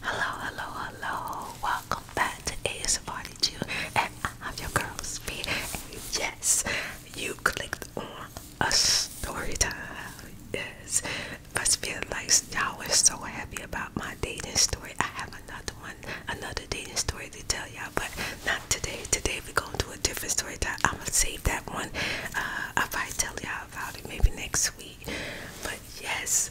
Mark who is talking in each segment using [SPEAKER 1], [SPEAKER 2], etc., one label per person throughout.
[SPEAKER 1] Hello, hello, hello. Welcome back to ASMR Two, and I'm your girl Speed yes, you clicked on a story time. Yes. I feel like y'all were so happy about my dating story. I have another one, another dating story to tell y'all, but not today. Today we're gonna do a different story time. I'm gonna save that one. Uh I'll tell y'all about it maybe next week. But yes,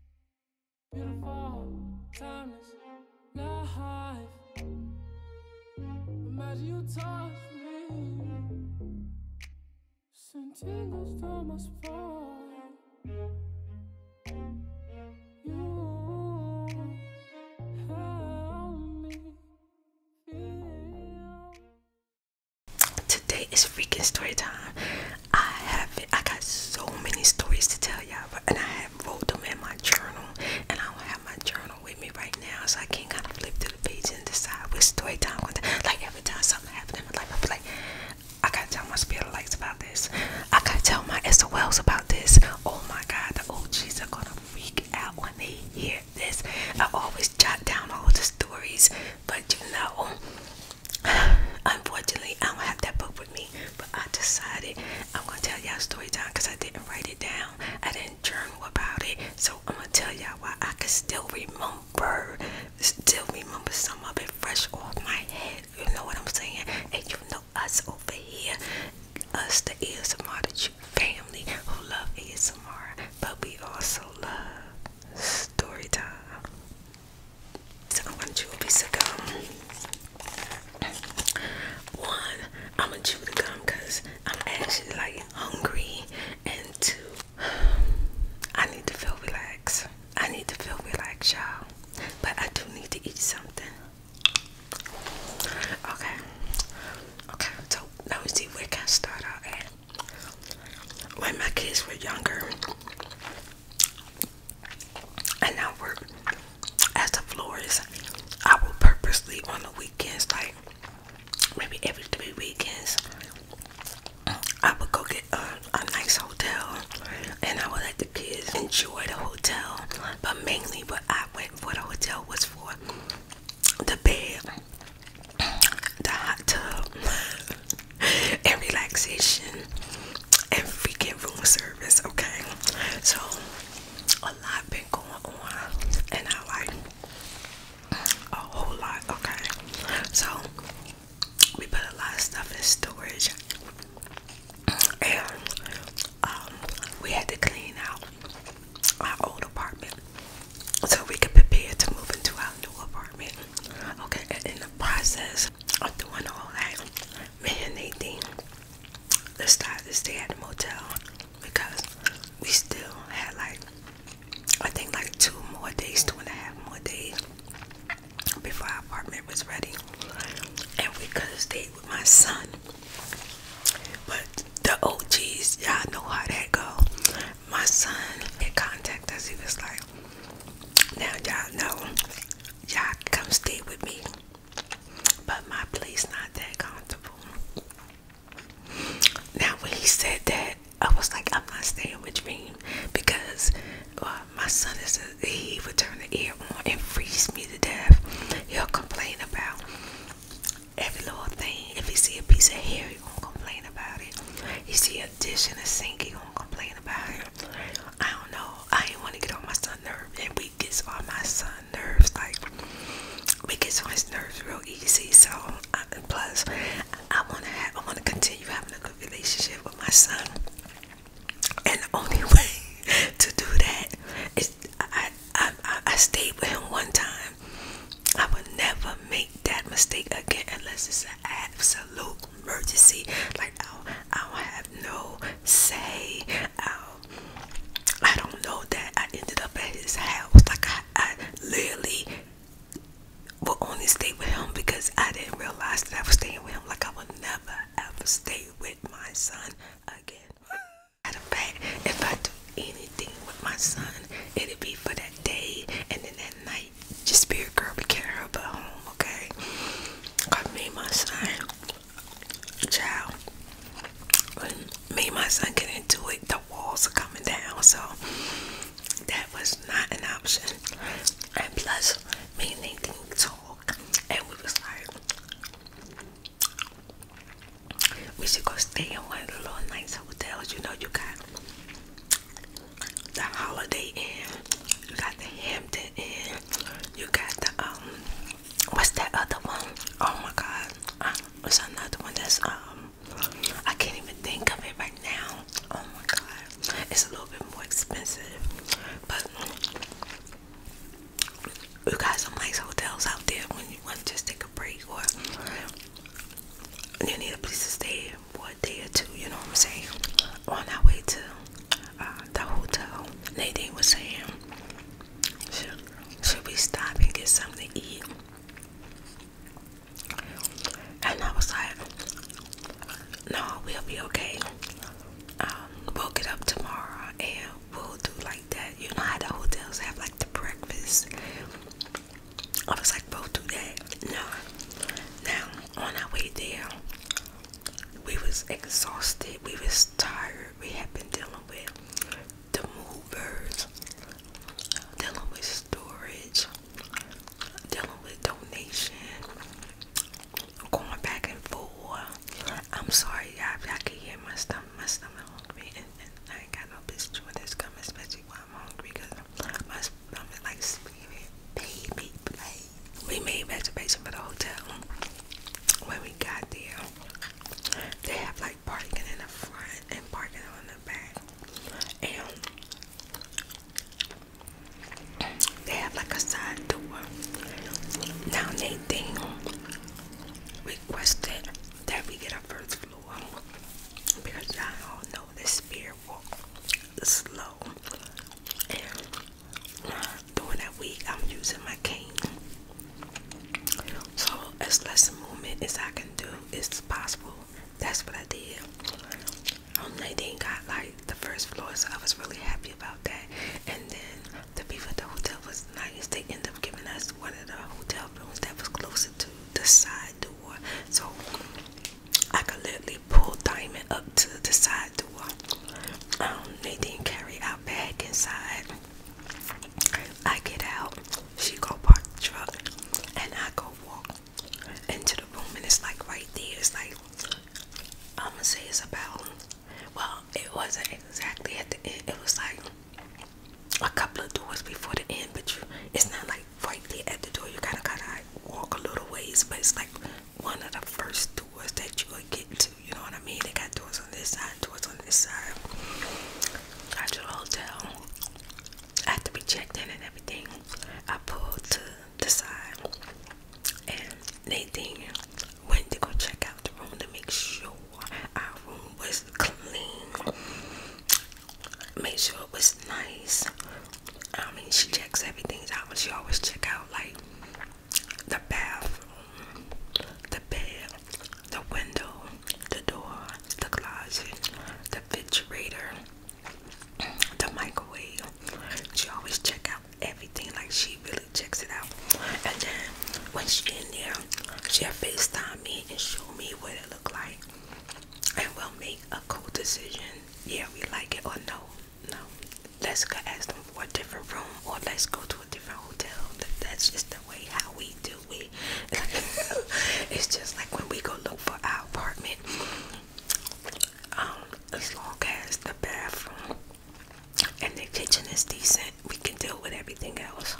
[SPEAKER 1] Beautiful, timeless, life. Imagine you touch me. Send tingles down my You help me feel. Today is freaking story time. I have I got so many stories to tell y'all, and I have wrote them in my journal, and I don't have my journal with me right now, so I can't kind of flip through the pages and decide which story time. I'm gonna, like every time something happens in my life, I feel like I gotta tell my spirit lights about this. I gotta tell my SOLs about this. Oh my God, the OGs are gonna freak out when they hear this. I always jot down all the stories, but you know. Unfortunately, I don't have that book with me, but I decided I'm gonna tell y'all story time because I didn't write it down. I didn't journal about it, so I'm gonna tell y'all why I can still remember, still remember some of it fresh off my head. You know what I'm saying? And you know us over here, us the ASMR family who love ASMR, but we also love story time. So I want you to be so gum. One, I'm gonna chew the gum because I'm actually like hungry, and two, I need to feel relaxed. I need to feel relaxed, y'all. But I do need to eat something. Okay. Okay. So now we see where can I start out at when my kids were younger, and I worked as a florist, I would purposely on the weekends, like maybe every three weekends, I would go get a, a nice hotel, and I would let the kids enjoy the hotel. But mainly, what I went for the hotel was for the bed the hot tub and relaxation and freaking room service, okay? So a lot been going on and I like a whole lot, okay? So we put a lot of stuff in storage and um, we had to clean out our old apartment so we could prepare to move into our new apartment Okay, in the process of doing all that, me and Nadine decided to stay at the motel because we still had like I think like two more days, two and a half more days before our apartment was ready. And we could have stayed with my son. But the OGs, y'all know how that go my son had contact us. He was like, now y'all know, y'all come stay with me. But my place not that comfortable. Now when he said that, I was like, I'm not staying with me because uh, my son is a, he would turn the air on and freeze me to death. He'll complain about every little thing. If he see a piece of hair, he gonna complain about it. He see a dish in a sink, he gonna complain about him. I don't know. I didn't want to get on my son's nerve, and we gets on my son's nerves. Like we gets on his nerves real easy. So I, plus, I want to have. I want to continue having a good relationship with my son. And the only way to do that is I I, I, I stayed with him one time. I would never make that mistake again unless it's an absolute emergency. Like I'll, I'll have no say. I'll, I i do not know that I ended up at his house. Like I, I literally will only stay with him because I didn't realize that I was staying with him. Like I would never ever stay with my son again. Matter of fact, if I do anything with my son, it will be for that day and then that night just be a girl, be careful, not help at home, okay? Cause me and my son, child, me and my son get into it, the walls are coming down, so that was not an option. And plus, me and they talk, and we was like, we should go stay in one of the little nice hotels, you know, you got the Holiday Inn, you got the Hampton Inn, you got the um, what's that other one? Oh my God, uh, what's another one that's um, I can't even think of it right now. Oh my God, it's a little bit more expensive, but you got some nice hotels out there when you want to just take a break or you need a place to stay. Boy, day or two, you know what I'm saying? On our way to uh, the hotel, Nadine was saying, should, we stop and get something to eat? And I was like, no, we'll be okay. Um, we'll get up tomorrow and we'll do like that. You know how the hotels have like the breakfast I was like, both do that. No. Now, on our way there, we was exhausted. We was tired. We had been dealing with the movers, dealing with storage, dealing with donation, going back and forth. I'm sorry, y'all. Y'all can hear my stomach. My stomach hungry, and, I ain't got no business doing this. Coming, especially energy while I'm hungry because We made reservation for the hotel. where we got there, they have like parking in the front and parking on the back. And they have like a side door. Now they thing requested that we get a first floor because I all all know this spirit slow. during that week, I'm using my cane. So as less movement as I can do is possible. That's what I did. Um, Nadine got like the first floor, so I was really happy about that. And then the people at the hotel was nice. They end up giving us one of the hotel rooms that was closer to the side door. So I could literally pull Diamond up to the side door. Um, they didn't carry our bag inside. I get out, she go park the truck, and I go walk into the room, and it's like right there. It's like I'm gonna say it's about. Well, it wasn't exactly at the end. It was like a couple of doors before the end, but you, it's not like frankly at the door you gotta walk a little ways but it's like one of the first doors that you will get to you know what i mean they got doors on this side doors on this side got your hotel i had to be checked in and everything i pulled to the side and they Nadine went to go check out the room to make sure our room was clean made sure it was nice. I mean, she checks everything out, but she always check out like the bathroom, the bed, the window, the door, the closet, the refrigerator, the microwave. She always check out everything. Like she really checks it out. And then once she's in there, she'll FaceTime me and show me what it looked like. And we'll make a cool decision yeah we like it or no no let's go ask them for a different room or let's go to a different hotel that's just the way how we do it it's just like when we go look for our apartment um as long as the bathroom and the kitchen is decent we can deal with everything else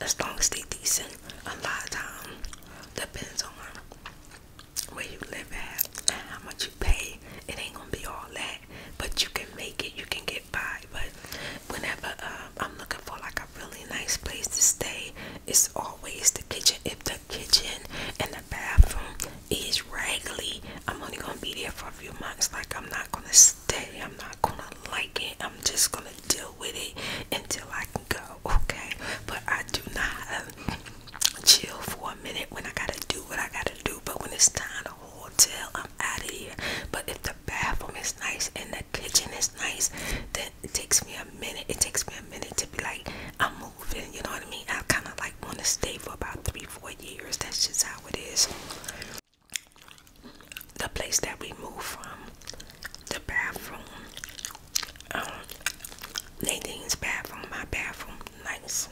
[SPEAKER 1] as long as they decent a lot of time depends on where you live at, how much you pay. It ain't gonna be all that, but you can make it. You can get by. But whenever um, I'm looking for like a really nice place to stay, it's always the kitchen. If the kitchen and the bathroom is raggedy, I'm only gonna be there for a few months. Like I'm not gonna stay. I'm not gonna like it. I'm just gonna deal with it until I can go. Okay, but I do not chill for a minute when I gotta do what I gotta do. But when it's time to hotel, I'm out of here. But if the bathroom is nice and the kitchen is nice, then it takes me a minute. It takes me a minute to be like, I'm moving. You know what I mean? I kind of like want to stay for about three, four years. That's just how it is. The place that we moved from, the bathroom, um, uh, Nadine's bathroom, my bathroom, nice.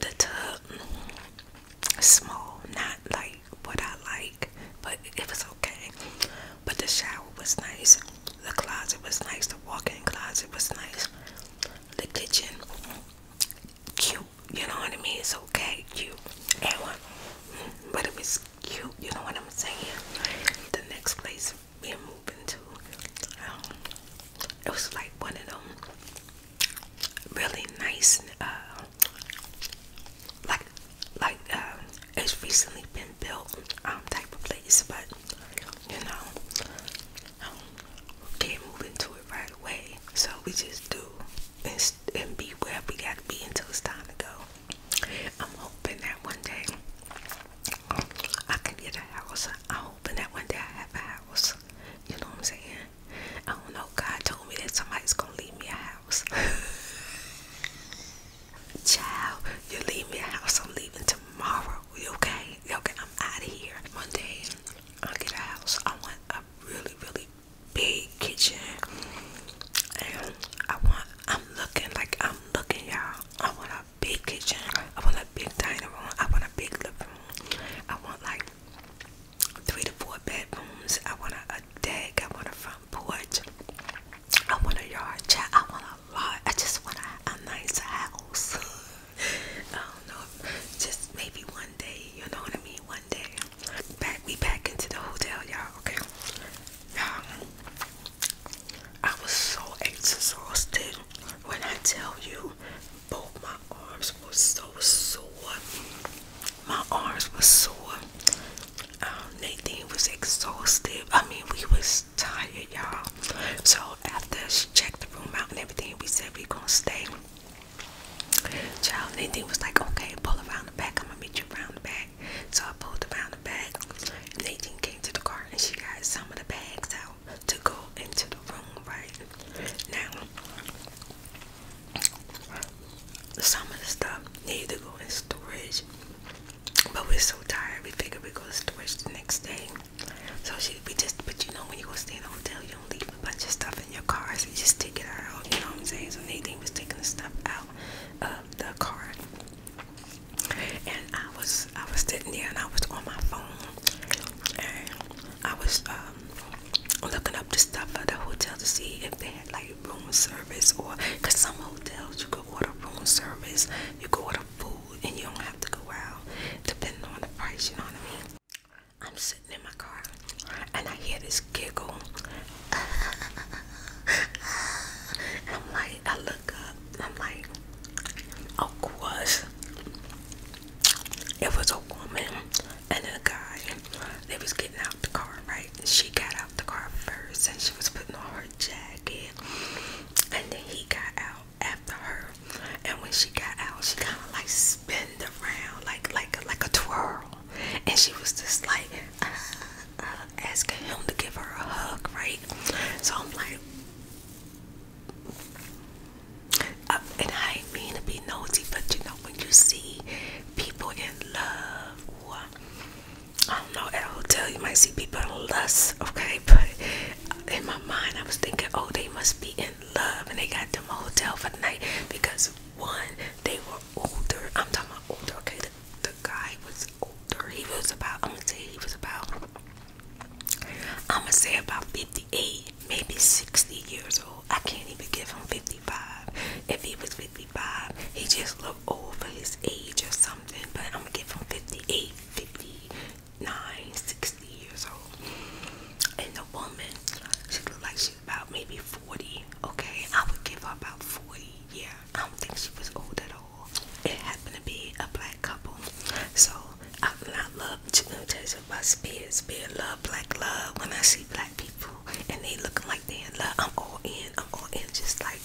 [SPEAKER 1] The tub, small, not like what I like, but it was okay. But the shower was nice. The closet was nice. The walk-in closet was nice. The kitchen, cute. You know what I mean? It's okay, cute. And, but it was cute, you know what I'm saying? The next place we're moving to, um, it was like one of them really nice, uh, like, like, uh, it's recently been built, um, type of place, but, you know, um, can't move into it right away, so we just do and, and be where we gotta be until it's time to go. I'm hoping that one day I can get a house. I'm hoping that one day I have a house. You know what I'm saying? I don't know. God told me that somebody's gonna leave me a house. Child, you leave me a house. I'm leaving tomorrow. okay? okay? I'm out of here. One day I'll get a house. I want a really, really big kitchen, and I want. I'm looking like I'm i looking, y'all. I want a big kitchen. I want a big dining room. I want a big living room. I want like three to four bedrooms. I want a, deck. I want a front porch. I want a yard chat. I want a lot. I just want a, nice house. I don't know. Just maybe one day. You know what I mean? One day. Back we back into the hotel, y'all. Okay. you I was so exhausted when I tell you both my arms were so sore. My arms were sore. Um, Nathan was exhausted. I mean, we was tired, y'all. So after she checked the room out and everything, we said we gonna stay. Child, Nathan was like, okay, pull around the back. I'm gonna meet you around the back. So I pulled around the back. Nadine came to the car and she got some of the bags out to go into the room, right? Now, some of the stuff need to go in storage, but we're so tired. We figured we go to storage next day. So she, we just, put, you know, when you go stay in a hotel, you don't leave a bunch of stuff in your car, so you just take it out. You know what I'm saying? So Nadine was taking the stuff out of the car and I was I was sitting there and I was on my phone and I was um, looking up the stuff for the hotel to see if they had like room service or because some hotels you could order room service, you could order food and you don't have to go out depending on the price, you know what I mean? I'm sitting in my car and I hear this giggle I'm like, I look up, I'm like, of course, it was a woman and a guy. They was getting out the car, right? She got out the car first and she was putting on her jacket. And then he got out after her. And when she got out, she kind of like spun around like like like a twirl. And she was just like uh, asking him to give her a hug, right? So I'm like, uh, and I ain't mean to be nosy, but you know, when you see people in love, I don't know, at a hotel, you might see people in lust, okay? But in my mind, I was thinking, oh, they must be in love, and they got them a hotel for the night because one, they were older. I'm talking about older, okay? guy was older. He was about I'm gonna say he was about i say about 58, maybe 60 years old. I can't even give him 55. If he was 55, he just looked old for his age or something. But I'm gonna give him 58, 59, 60 years old. And the woman, she looked like she was about maybe 40. Okay, I would give her about 40. Yeah, I don't think she was old at all it happened to be a black couple. So I, I love temptation by spirit, spirit love, black love. When I see black people and they looking like they in love, I'm all in, I'm all in, just like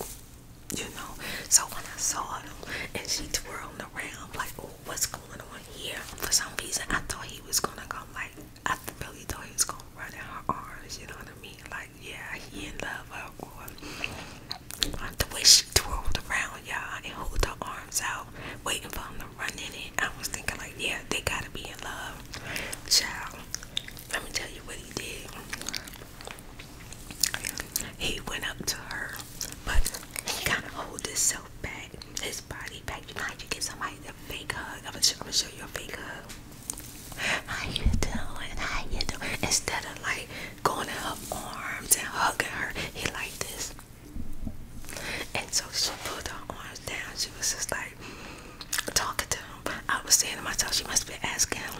[SPEAKER 1] you know. So when I saw them and she twirled around, like, oh, what's going on here? For some reason, I thought he was gonna go like, I really thought he was gonna run in her arms. You know what I mean? like yeah, he in love her. Uh, or, the way she twirled around, y'all, and hold her arms out, waiting for him to run in it. I was thinking, like, yeah, they gotta be in love. Child, let me tell you what he did. He went up to her, but he kind of hold self back, his body back. You know how you give somebody the fake hug? I'm gonna, show, I'm gonna show you a fake hug. How you doing? How you doing? Instead of like going to her arms and hugging her, he like this. And so she put her arms down. She was just like talking to him. I was saying to myself, she must be asking him,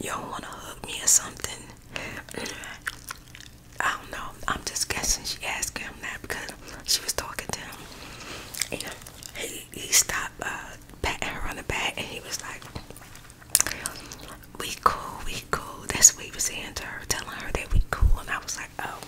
[SPEAKER 1] "You don't want to hug me or something?" I don't know. I'm just guessing she asked him that because she was talking to him. And he, he stopped uh, patting her on the back and he was like, we cool, we cool. That's what we was saying to her, telling her that we cool, and I was like, oh.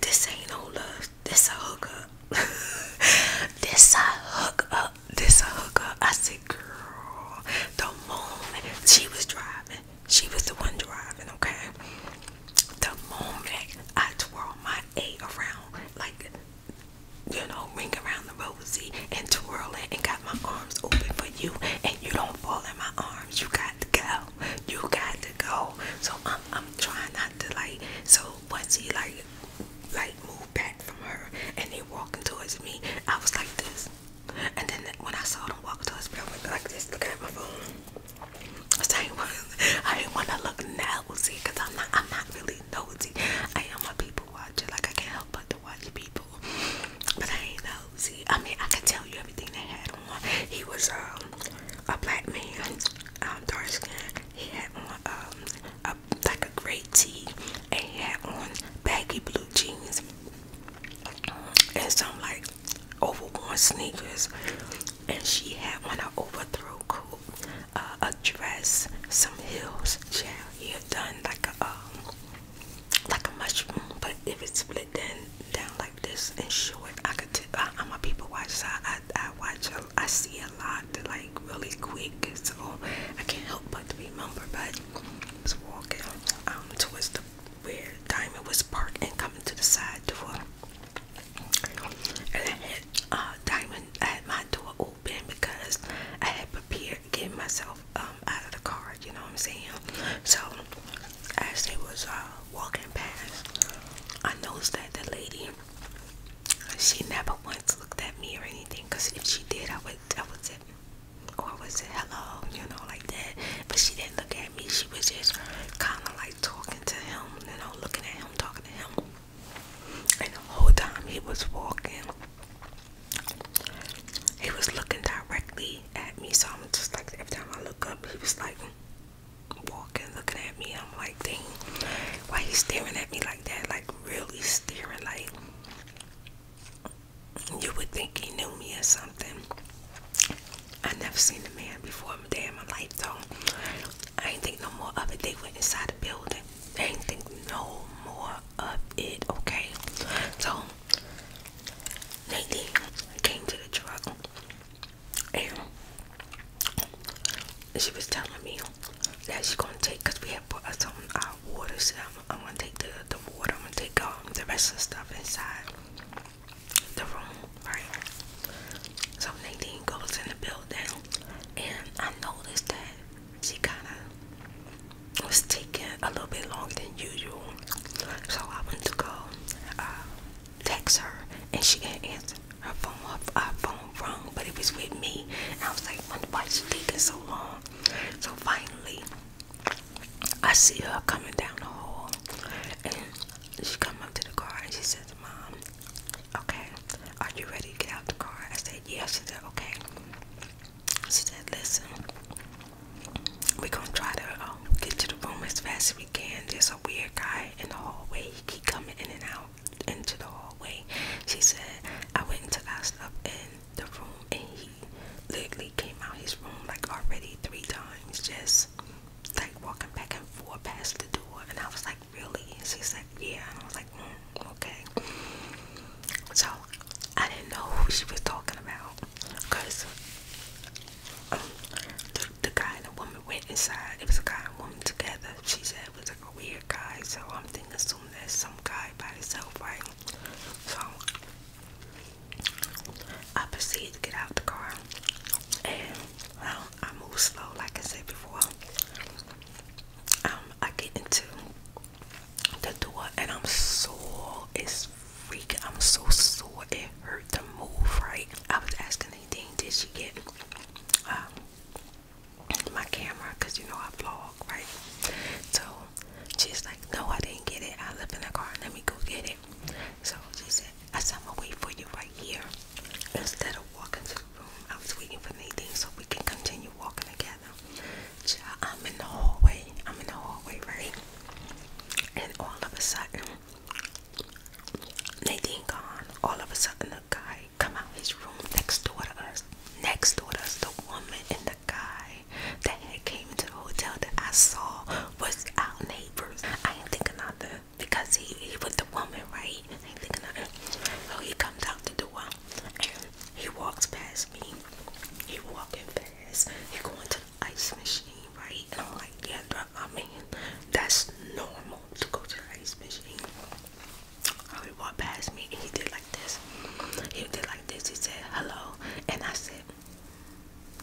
[SPEAKER 1] This ain't no love. This a up. this a hookup. This a hookup. I said, girl, the moment she was driving, she was the one driving, okay? The moment I twirl my A around, like you know, ring around the rosy and twirl it and got my arms open for you and you don't fall in my arms. You got to go. You got to go. So I'm I'm trying not to like so once he like like move back from her and he walking towards me, I was like this. And then when I saw them walk towards me, I was like this, look at my phone. I didn't want to look nosy because I'm not, I'm not really nosy. I am a people watcher. Like I can't help but to watch people. But I ain't nosy. I mean, I can tell you everything they had on. He was um a black man, um, dark skin. He had on um, a, like a gray tee, he had on baggy blue jeans and some like overworn sneakers. And she had on an throw coat uh, a dress, some heels. Yeah, you done like a um, like a mushroom, but if it's split then down like this and short, I could. i I, I'm a people watcher. I, I watch. Um, I see a lot like really quick, so I can't help but remember. But I was walking um towards the where Diamond was parked and coming to the side door. And I had uh, Diamond, I had my door open because I had prepared getting myself um, out of the car, you know what I'm saying? So, as they was uh, walking past, I noticed that the lady, she never once looked at me or anything because if she did, I would, I would say, or I would hello, you know, like that. But she didn't look at me. She was just kind of like talking to him, you know, looking at him, talking to him. And the whole time he was walking, he was looking directly at me. So I'm just like, every time I look up, he was like walking, looking at me. I'm like, dang, why he staring at me like that? Like really staring, like you would think he knew me or something. I never seen a man before in my day in my life though. I ain't think no more of it. They went inside the building. I ain't think no more of it, okay? So Nadine came to the truck and she was telling me that she's gonna take because we had put us uh, water so I'm, gonna take the, the water, I'm gonna take um, the rest of the stuff inside the room, right? So Nadine goes in the building and I noticed that she kind of was taking a little bit longer than usual. So I went to go uh, text her, and she didn't answer her phone. Her, her phone but it was with me. And I was like, why is she taking so long? So finally, I see her coming down the hall, and she come up to the car, and she says, "Mom, Okay, are you ready to get out the car? I said, yes. She said, Okay. She said, Listen, we're gonna try to um, get to the room as fast as we can. There's a weird guy in the hallway, he keep coming in and out into the hallway. She said, I went and took our stuff in the room, and he literally came out his room like already three times, just like walking back and forth past the door. And I was like, really? she's like, yeah. I was like, mm, okay. So I didn't know who she was talking about because um, the, guy and the woman went inside. It was a guy and woman together. She said it was like a weird guy. So I'm thinking, soon that's some guy by himself, right? So I proceed to get out the car and um, I move slow, like I said before um, I get into the door and I'm sore. It's freaking. I'm so sore. It hurt to move. Right. I was asking anything. Did she get um, my camera? Cause you know I vlog, right? So she's like, no, I didn't get it. I live in the car. Let me go get it. So she said, I said, I'm gonna wait for you right here. Instead of walking to the room, I was waiting for Nadine so we can continue walking together. I'm in the hallway. I'm in the hallway, right? And all of a sudden, Nadine gone. All of a sudden, the guy come out his room next door to us. Next door to us, the woman and the guy that came into the hotel that I saw was our neighbors. I ain't thinking nothing because he, he with the woman, right? So he comes out the door he walks past me. He walking fast. He going to the ice machine, right? And I'm like, yeah, bro, I mean, that's normal to go to the ice machine. he walk past me and he did like this. He did like this. He said hello, and I said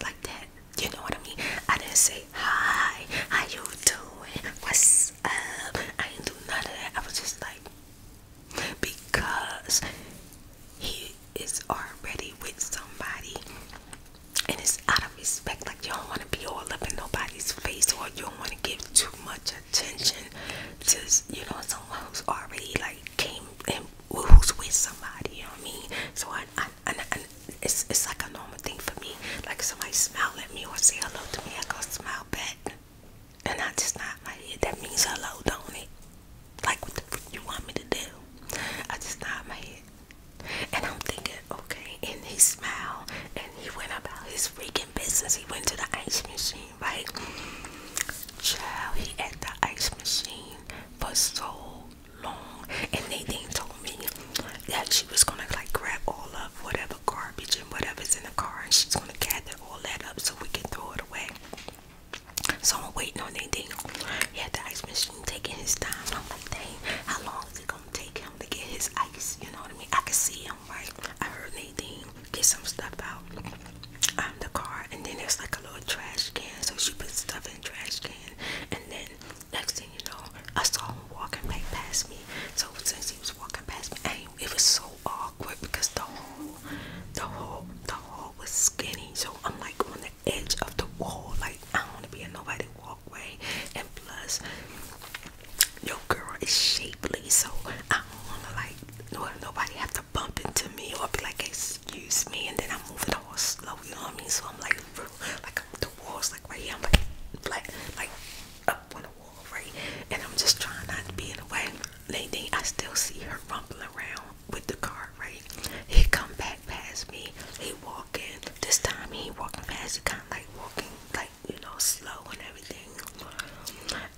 [SPEAKER 1] like that. You know what I mean? I didn't say hi. How you doing? What's up? I did do none of that. I was just like, because he is already with somebody and it's out of respect. Like, you don't want to be all up in nobody's face or you don't want to give too much attention to, you know, someone who's already like came and who's with somebody, you know what I mean? So, I, I, I, it's, it's like a normal normal thing for me. Like somebody smile at me or say hello to me, I go smile back. And I just nod my head. That means hello, don't it? Like what the freak you want me to do? I just nod my head. And I'm thinking, okay. And he smiled and he went about his freaking business. He went to the ice machine, right? Child, he at the ice machine for so long. And they didn't told me that she was gonna like grab all of whatever garbage and whatever's in the car, and she's gonna gather all that up so we can throw it away. So I'm waiting on Nadine. Yeah, the ice machine taking his time. I'm like, dang, how long is it gonna take him to get his ice? You know what I mean? I can see him, right? I heard Nadine get some stuff out um the car, and then there's like a little trash can, so she put stuff in the trash can, and then next thing you know, I saw him walking right past me. So since he was walking past me. I, it was so awkward because the whole, the whole, the whole was skinny. So I'm like on the edge of the wall. Like I don't want to be in nobody's walkway. And plus, your girl is shapely, so I don't want to like nobody have to bump into me or be like, excuse me. And then I'm moving the wall slow. You know what I mean? So I'm like, through, like the wall's like right here. I'm like, like, like up on the wall right? And I'm just trying not to be in the way. Anything, I still see her rumbling around with the car, right? He come back past me. He walking. This time he walking past. He kind of like walking, like you know, slow and everything.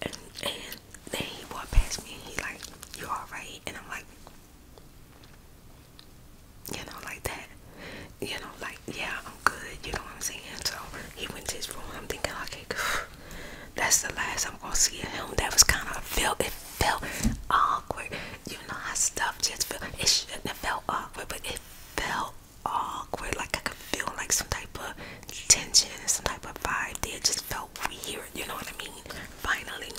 [SPEAKER 1] And and then he walk past me. And he like, you all right? And I'm like, you know, like that you know, like, yeah, I'm good, you know what I'm saying? So he went to his room. I'm thinking, okay, that's the last I'm gonna see of him. That was kind of felt it felt awkward. You know how stuff just felt it shouldn't have felt awkward, but it felt awkward. Like I could feel like some type of tension and some type of vibe there. just felt weird, you know what I mean? Finally,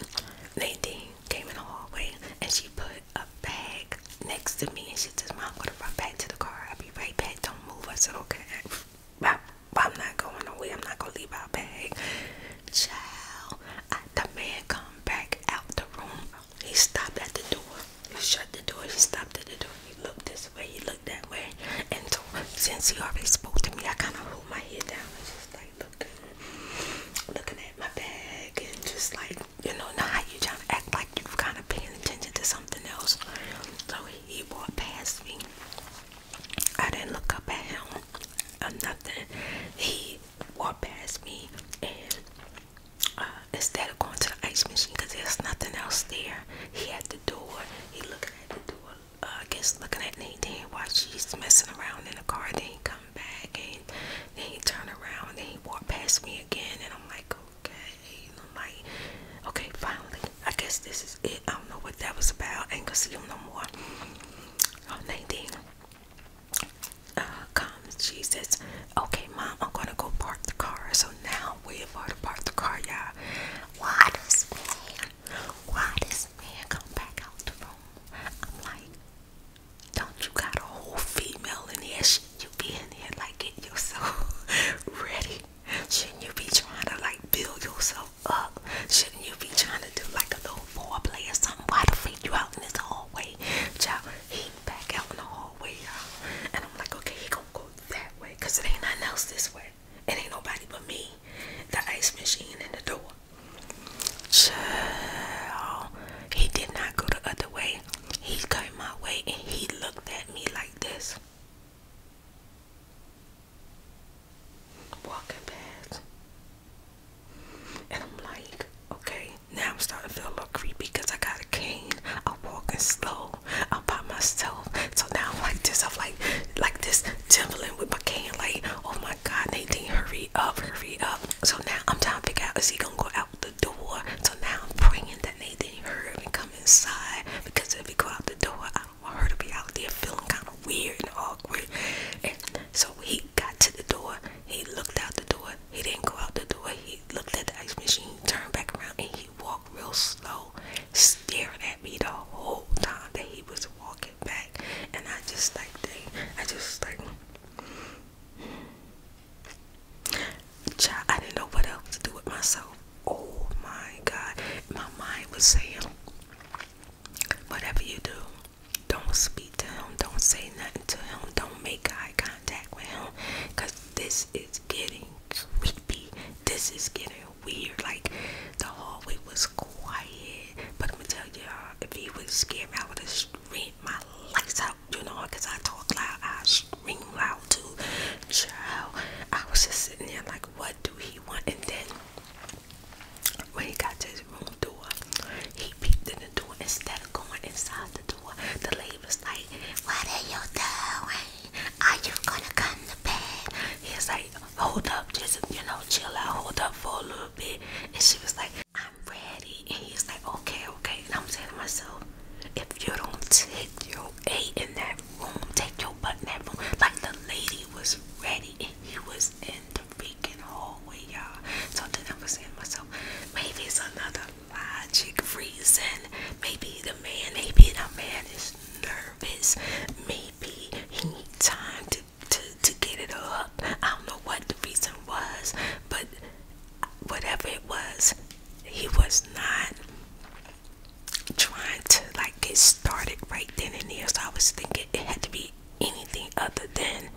[SPEAKER 1] Nadine came in the hallway and she put a bag next to me and she says, Mom, I'm gonna run back to the car. I'll be right back. Don't move. I said, Okay. I, am not going away. I'm not gonna leave my bag. Child, I, the man come back out the room. He stopped at the door. He shut the door. He stopped at the door. He looked this way. He looked that way. And since he already spoke to me, I kind of hold my head down and just like looking, looking at my bag and just like you know, now you trying to act like you've kind of paying attention to something else. So he walked past me. I didn't look up at him or nothing. He walked past me and uh, instead of going to the ice machine because there's nothing else there, he had the door. He looking at the door. Uh, I guess looking at Nadine while she's messing around in the car. Then he come back and then he turn around and he walked past me again. And I'm like, okay, I'm okay, finally, I guess this is it. I don't know what that was about. ain't gonna see him no more. Oh, Nadine uh, comes. She okay, mom, I'm gonna go park the car. So now we're to park the car, y'all. Why this man? Why this man come back out the room? I'm like, don't you got a whole female in here? shouldn't you be in there like getting yourself ready? Shouldn't you be trying to like build yourself up? Shouldn't you be trying to do like a little play or something? Why the freak you out in this hallway? Child, he back out in the hallway, y'all. And I'm like, okay, he gonna go that way. Cause it ain't nothing else this way. It ain't nobody but me. The ice machine and the door. Child, he did not go the other way. He came my way and he looked at me like this. Walking past. And I'm like, okay, now I'm starting to feel a little creepy because I got a cane. I'm walking slow. I'm by myself. So now I'm like this. I'm like like this trembling with my cane. Like, oh my god, Nathan, hurry up, hurry up. So now I'm trying to figure out is he gonna go out door. So now I'm praying that Nathan heard me come inside because if he go out the door, I don't want her to be out there feeling kind of weird and awkward. And so he got to the door. He looked out the door. He didn't go out the door. He looked at the ice machine, turned back around, and he walked real slow, staring at me the whole time that he was walking back. And I just like, I just like. I didn't know what else to do with myself. Oh my God. My mind was saying, whatever you do, don't speak to him. Don't say nothing to him. Don't make eye contact with him. Because this is getting creepy. This is getting weird. Like, the hallway was quiet. But I'm going to tell y'all, if he was scared, I would have screamed my lights out you know, I talk loud, I scream loud too. Child, I was just sitting there like, what do he want? And then when he got to his room door, he peeped in the door instead of going inside the door. The lady was like, What are you doing? Are you gonna come to bed? He was like, Hold up, just you know, chill out, hold up for a little bit. And she was like, I'm ready. And he was like, Okay, okay. And I'm saying to myself, if you don't take your A in that room, take your butt in that room. Like the lady was ready and he was in the freaking hallway, y'all. So then I was saying to myself, maybe it's another logic reason. Maybe the man, maybe the man is nervous. Maybe he need time to, to, to get it up. I don't know what the reason was, but whatever it was, he was not trying to like get started right then and there. So I was thinking it had to be anything other than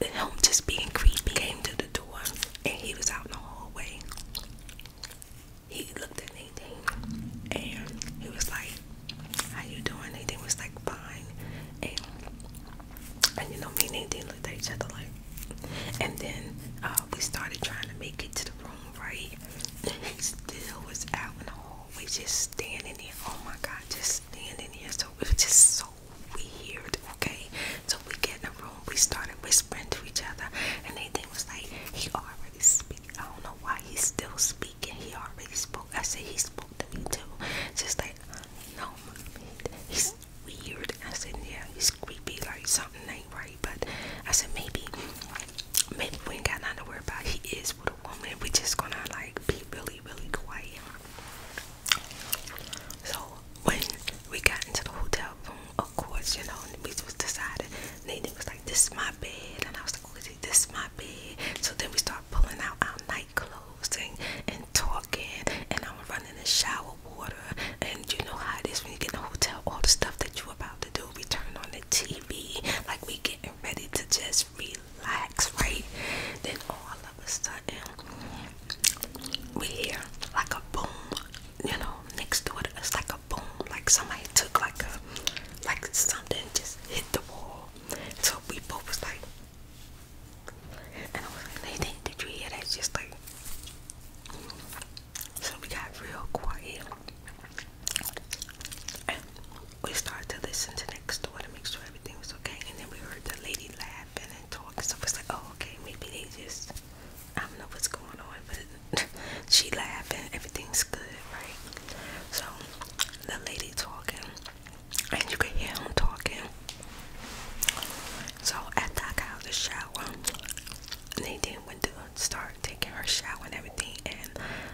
[SPEAKER 1] him just being creepy. Came to the door and he was out in the hallway. He looked at Nadine and he was like, How you doing? Nadine was like fine. And you know me and Nadine looked at each other like and then uh, we started trying to make it to the room, right? He still was out in the hallway, just standing there. Oh my God, just standing there. So it was just so weird, okay? So we get in the room, we started whispering to each other, and Nathan was like, "He already speak. I don't know why he's still speaking. He already spoke." I said, "He spoke to me too." Just like, no, mommy, weird. I said, yeah, it's creepy, like something ain't right. But I said, maybe, maybe we ain't got nothing to worry about. He is with a woman. We just gonna like be really, really quiet. So when we got into the hotel room, of course, you know, we was decided. Nathan was like, "This is my bed," and I was like, oh, it, "This is my bed." So then we start pulling out our night clothes and, and talking, and I'm running the shower water. And you know how this when you get in a hotel, all the stuff that you're about to do, we turn on the TV, like we getting ready to just relax, right? Then all of a sudden, we hear like a boom, you know, next door to us, like a boom, like somebody took like a, like something just hit the wall. So we both was like, and I was like, Nathan, did you hear that? Just like, so we got real quiet and we started to listen to next door to make sure everything was okay. And then we heard the lady laughing and talking. So was like, oh, okay, maybe they just, I don't know what's going on, but she laughing, everything's good, right? So the lady talking, and you can hear him talking. So after I got out of the shower, they didn't went to start taking her shower and everything and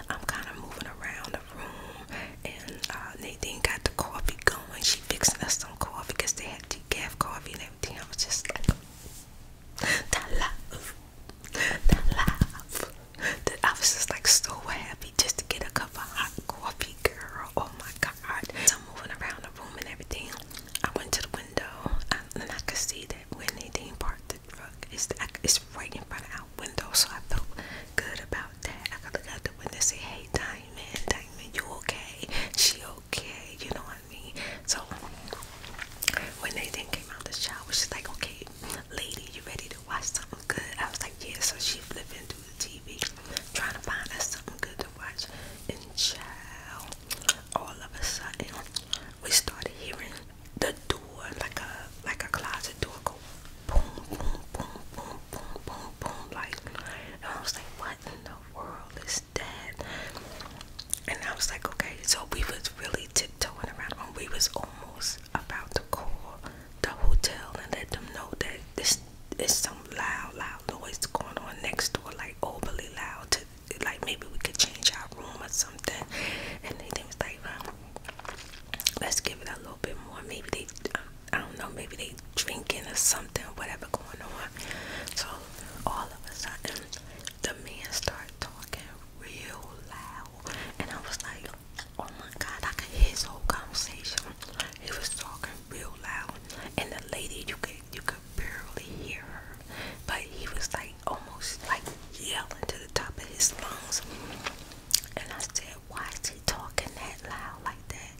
[SPEAKER 1] I'm kind of moving around the room and uh, Nadine got the coffee going. She fixing us some coffee because they had decaf coffee and everything. I was just like, the love, the love. I was just like so happy just to get a cup of hot coffee, girl. Oh my God. I'm moving around room and everything, I went to the window and I could see that when they didn't park the truck, it's, it's right in front of our window. So I felt good about that. I could look out the window and say, hey, Diamond, Diamond, you okay? She okay? You know what I mean? So when they then came out the shower, she's like, okay, lady, you ready to watch something good? I was like, yeah. So she flipping through the TV, trying to find us something good to watch. And child, all of a sudden we started hearing the door like a like a closet door go boom boom boom boom boom boom boom like and I was like what in the world is that and I was like okay so we was really tiptoeing around and we was almost about to call the hotel and let them know that this is some loud loud noise going on next door like overly loud to like maybe we could change our room or something and they, was like um, let's give it a little bit more maybe they um, i don't know maybe they drinking or something whatever going on so all of a sudden the man start talking real loud and i was like oh my god i could hear his whole conversation he was talking real loud and the lady you could you could barely hear her, but he was like almost like yelling to the top of his lungs. And I said, Why is he talking that loud like that?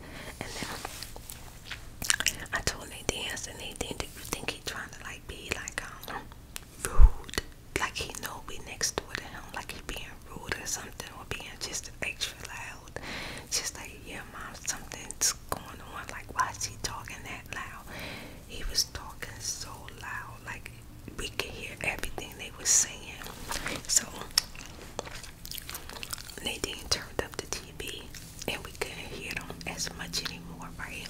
[SPEAKER 1] And then I told Nadine, I said, Nadine, do you think he's trying to like be like um rude? Like he know we next door to him, like he being rude or something or being just extra loud. Just like, yeah, mom, something's going on? Like, why is he talking that loud? He was talking so loud, like we could hear everything they were saying. So they didn't turn up the TV, and we couldn't hear them as much anymore, right?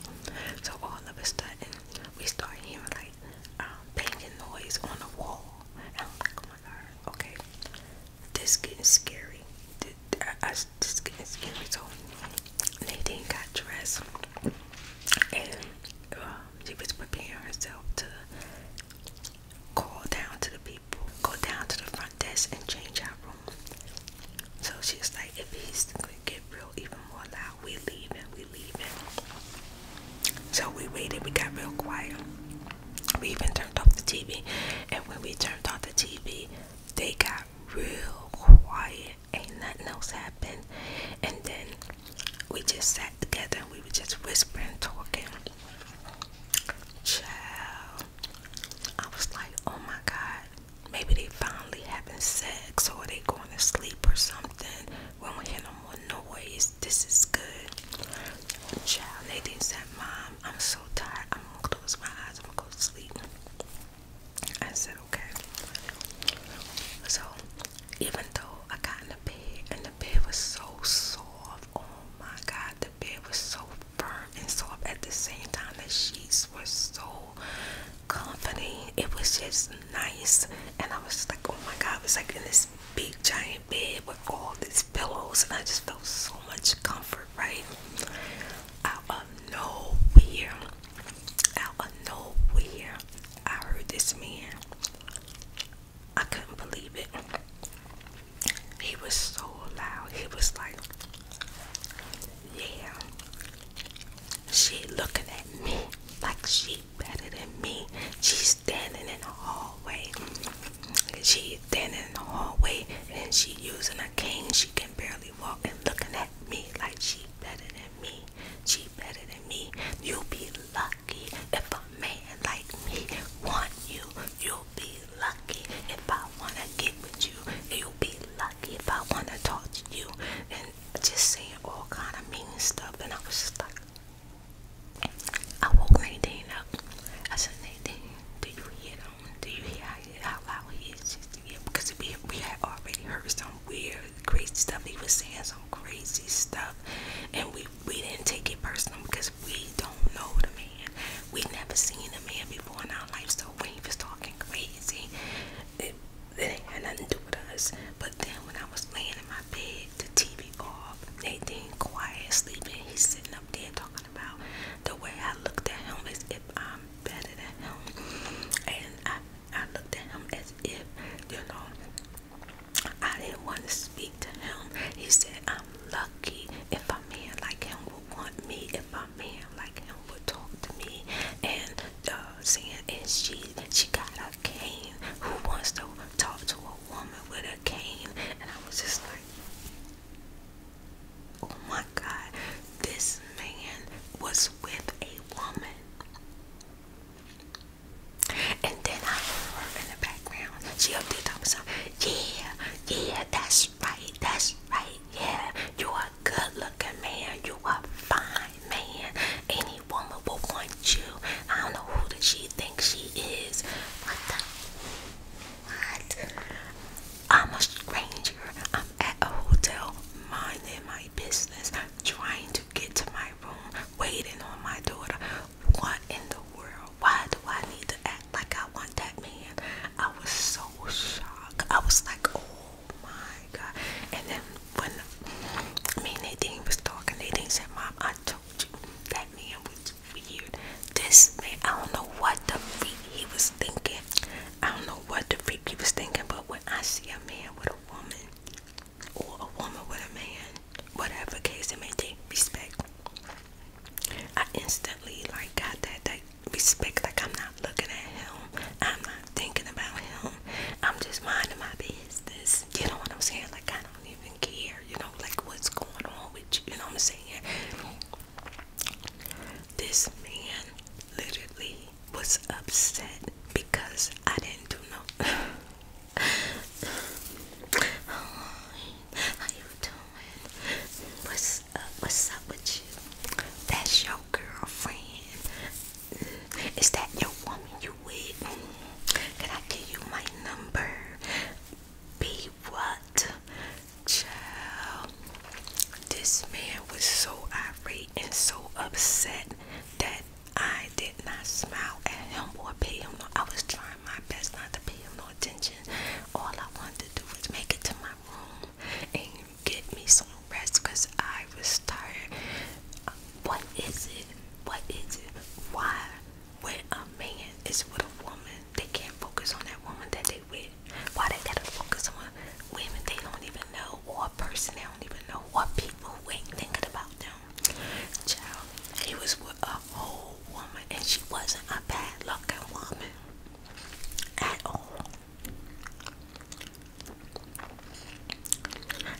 [SPEAKER 1] So all of a sudden, we start hearing like um, banging noise on the wall. Oh okay this getting scary. I, I just getting scary. So Nadine got dressed and um, she was preparing herself to call down to the people, go down to the front desk and change our room. So she's like, if he's gonna get real even more loud, we leaving, we leaving. So we waited, we got real quiet. We even turned off the TV, and when we turned off the TV, they got real quiet. Ain't nothing else happened. And then we just sat together and we were just whispering, talking. Child. I was like, oh my God. Maybe they finally having sex or they going to sleep or something. When we hear no more noise, this is good. Child, they didn't Mom, I'm so tired. I'm going to close my eyes. I'm going to go I said, okay. So, even though I got in the bed and the bed was so soft, oh my god, the bed was so firm and soft at the same time, the sheets were so comfy. It was just nice, and I was just like, oh my god, it was like in this big giant bed with all these pillows, and I just felt so much comfort, right? out of nowhere, out of nowhere, I heard this man. I couldn't believe it. He was so loud. He was like, Yeah, she looking at me like she better than me. She's standing in the hallway. She's standing in the hallway and she using a cane she can barely walk and looking at me like she better than me. She better than me. You'll be lucky if a man like me want you. You'll be lucky if I wanna get with you. You'll be lucky if I wanna talk to you. And just saying all kind of mean stuff. And I was just like, I woke Nadine up. I said, Nadine, do you hear do you hear how loud he is? Just, yeah, because we we had already heard some weird, crazy stuff. He was saying some crazy stuff, and we we didn't take it personal because we don't know the man. We never seen the man before in our life, so when he was talking crazy, it, it had nothing to do with us. But then when I was laying in my bed, the TV off, Nathan quiet sleeping, he's sitting up there talking about the way I looked at him is if I'm better than him, and I I looked at him as if you know I didn't want to speak to him. He said, "I'm lucky if a man like him would want me, if a man like him would talk to me." And uh, saying, and she she got a cane. Who wants to talk to a woman with a cane? And I was just like. Oh my God, this man was with a woman. And then I heard her in the background. She up there talking something. Yeah, yeah, that's right, that's right, yeah. You are a good looking man. You are a fine man. Any woman will want you. I don't know who does she think she is. What the what? I'm a stranger. I'm at a hotel minding my business, trying to get to my room, waiting on my daughter. What in the world? Why do I need to act like I want that man? I was so shocked. I was like, oh my god. And then when me and Nadine was talking, Nadine said, Mom, I told you that man was weird. This man, I don't know what the freak he was thinking. I don't know what the freak he was thinking, but when I see a man with a woman or a woman with a man, whatever case it may take, respect. I instantly like got that that respect. Like I'm not looking at him. I'm not thinking about him. I'm just minding my business. You know what I'm saying? Like I don't even care. You know, like what's going on with you. You know what I'm saying? This man literally was upset because I didn't do no. How you doing? What's up? What's up with you? That's your girlfriend. Mm, is that your woman you with? Mm, can I give you my number? Be what? Child, this man was so irate and so upset that I did not smile at him or pay him. I was trying my best not to pay him no attention. All I wanted to do was make it to my room and get me some rest because I was tired. what is it? What is it? Why? When a man is with a woman, they can't focus on that woman that they with. Why they gotta focus on women they don't even know, or a person they don't even know, or people who ain't thinking about them. Child, he was with a whole woman, and she wasn't a bad looking woman at all.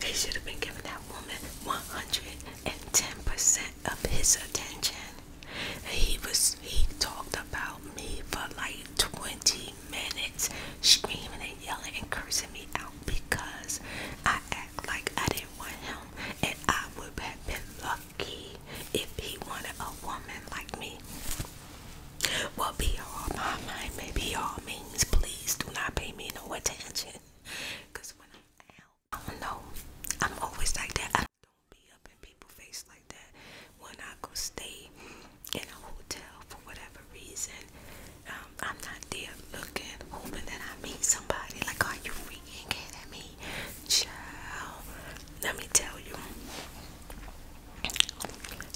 [SPEAKER 1] He should have been giving that woman 110% of his attention he was he talked about me for like 20 minutes, screaming and yelling and cursing me out because I act like I didn't want him, and I would have been lucky if he wanted a woman like me. Well, be all my mind, maybe all means, please do not pay me no attention. Cause when I'm out, I don't know. I'm always like that. I don't be up in people's face like that. When I go stay in a hotel for whatever reason, um, I'm not there looking, hoping that I meet somebody. Like, are you freaking kidding me? Child, let me tell you.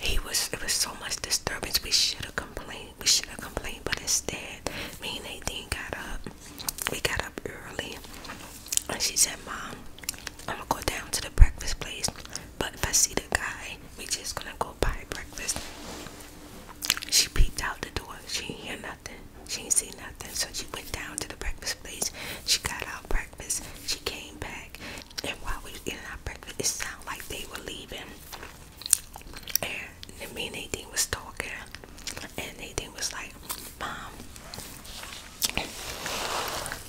[SPEAKER 1] He was, it was so much disturbance. We should have complained. We should have complained, but instead, me and Nadine got up. We got up early, and she said, Mom, I'm gonna go down to the breakfast place. But if I see the guy, we just gonna go buy breakfast. She peeked out the door. She ain't hear nothing. She ain't see nothing. So she went down to the breakfast place. She got our breakfast. She came back. And while we were eating our breakfast, it sounded like they were leaving. And me and Nadine was talking. And Nadine was like, Mom,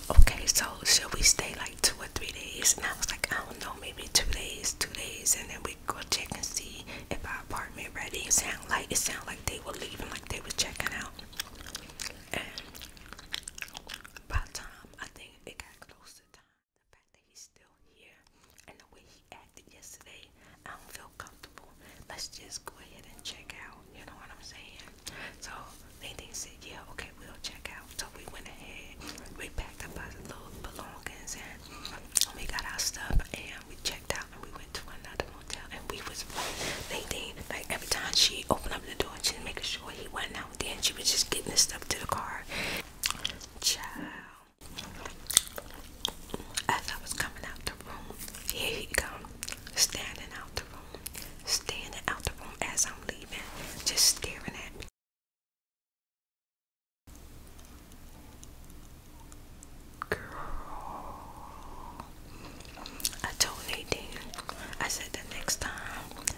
[SPEAKER 1] Okay, so should we stay like two or three days? And I was like, I don't know, maybe two days, two days, and then we go check and see if our apartment ready. It sound like it sound like they were leaving, like they was checking out. And time I think it got close to time, the fact that he's still here and the way he acted yesterday, I don't feel comfortable. Let's just go ahead and check out. You know what I'm saying? So Nadine said, yeah, okay, we'll check out. So we went ahead, we packed up our little belongings and we got our stuff and we checked out and we went to another motel and we was, Nadine, like every time she opened up the door, she was making sure he wasn't out there and she was just getting his stuff to the car. Child. As I was coming out the room, he come, standing out the standing out the room as I'm leaving, just staring at me. Girl, I told Nadine, I said the next time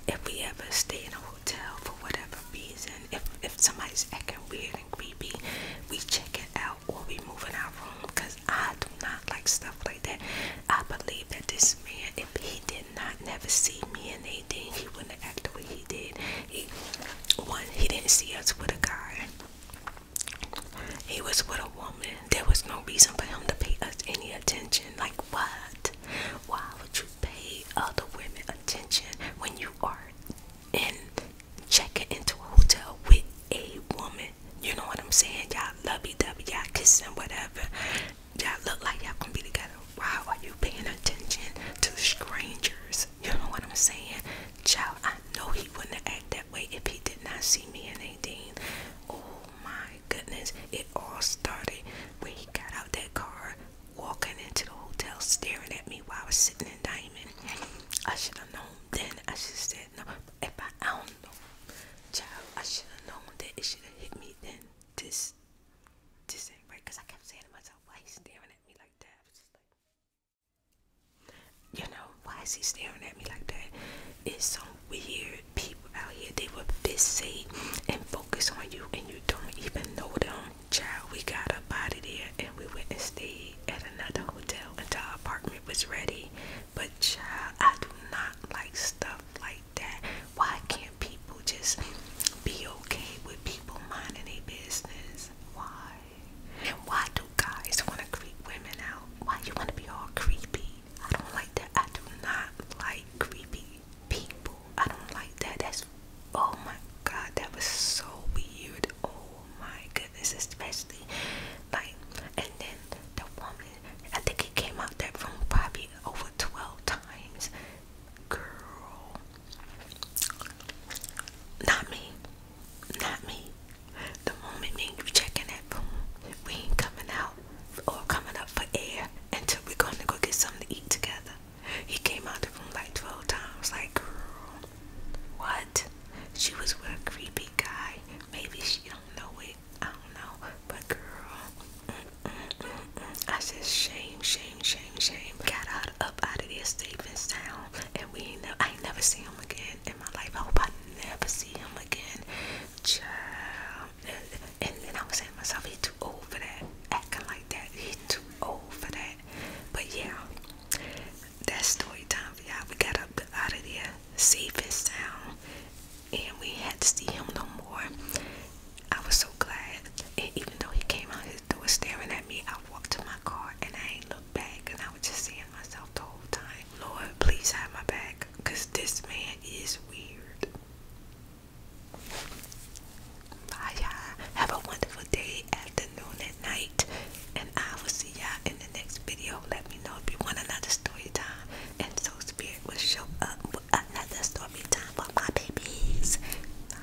[SPEAKER 1] if we ever stay in a hotel for whatever reason, if if somebody's acting weird and creepy, we check it out or we move in our room. I do not like stuff like that. I believe that this man, if he did not never see me and anything, he wouldn't act the way he did. He one, he didn't see us with a guy. He was with a woman. There was no reason for him to pay us any attention. Like what? Why would you pay other women attention when you are in checking into a hotel with a woman? You know what I'm saying? Y'all lovey dovey, y'all kissing, whatever. Y'all look like y'all gonna be together. Why are you paying attention to strangers? You know what I'm saying? Child, I know he wouldn't act that way if he did not see me and Nadine. Oh my goodness, it all started when he got out that car, walking into the hotel, staring at me while I was sitting in Diamond. I should have known then. I should have said no. If I, I don't know. Child, I should have known that it should have hit me then. This, this ain't right. Cause I kept saying to myself, why he's staring at me like that? I just like, you know, why is he staring at me like that? It's some weird people out here. They will fixate and focus on you, and you don't even know them. Child, we got a body there, and we went and stayed at another hotel until our apartment was ready. But child, I do not like stuff like that. Why can't people just be okay with people minding their business? Why? Why do guys want to creep women out? Why you want to be all creepy? I don't like that. I do not like creepy people. I don't like that. That's oh my god, that was so weird. Oh my goodness, especially like and then the woman I think it came out there from probably over 12 times. Girl. Not me. Not me. The moment me you checking that room, we ain't coming out or coming up for air until we're going to go get something to eat together. He came out the room like 12 times. Like, girl, what? She was with a creepy guy. Maybe she don't know it. I don't know, but girl, mm, mm, mm, I said shame, shame, shame, shame. Got out up out of this Stephen's town, and we ain't never, I ain't never see him again in my life. I hope I never see him again, child. And then I was saying to myself, he too old for that, acting like that. He too old for that. But yeah, that's story time for y'all. We got up out of there, Stephen's town and we had to see him no more. I was so glad. And even though he came out his door staring at me, I walked to my car and I ain't looked back and I was just seeing myself the whole time. Lord, please have my back because this man is weird. Bye, y'all. Have a wonderful day, afternoon, and night. And I will see y'all in next video. Let me know if you want another story time. And so spirit will show up with another story time for my babies. Bye.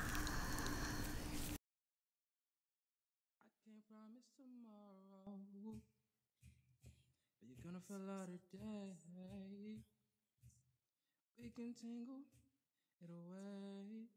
[SPEAKER 1] promise tomorrow. you're gonna feel out today. We can tangle it away.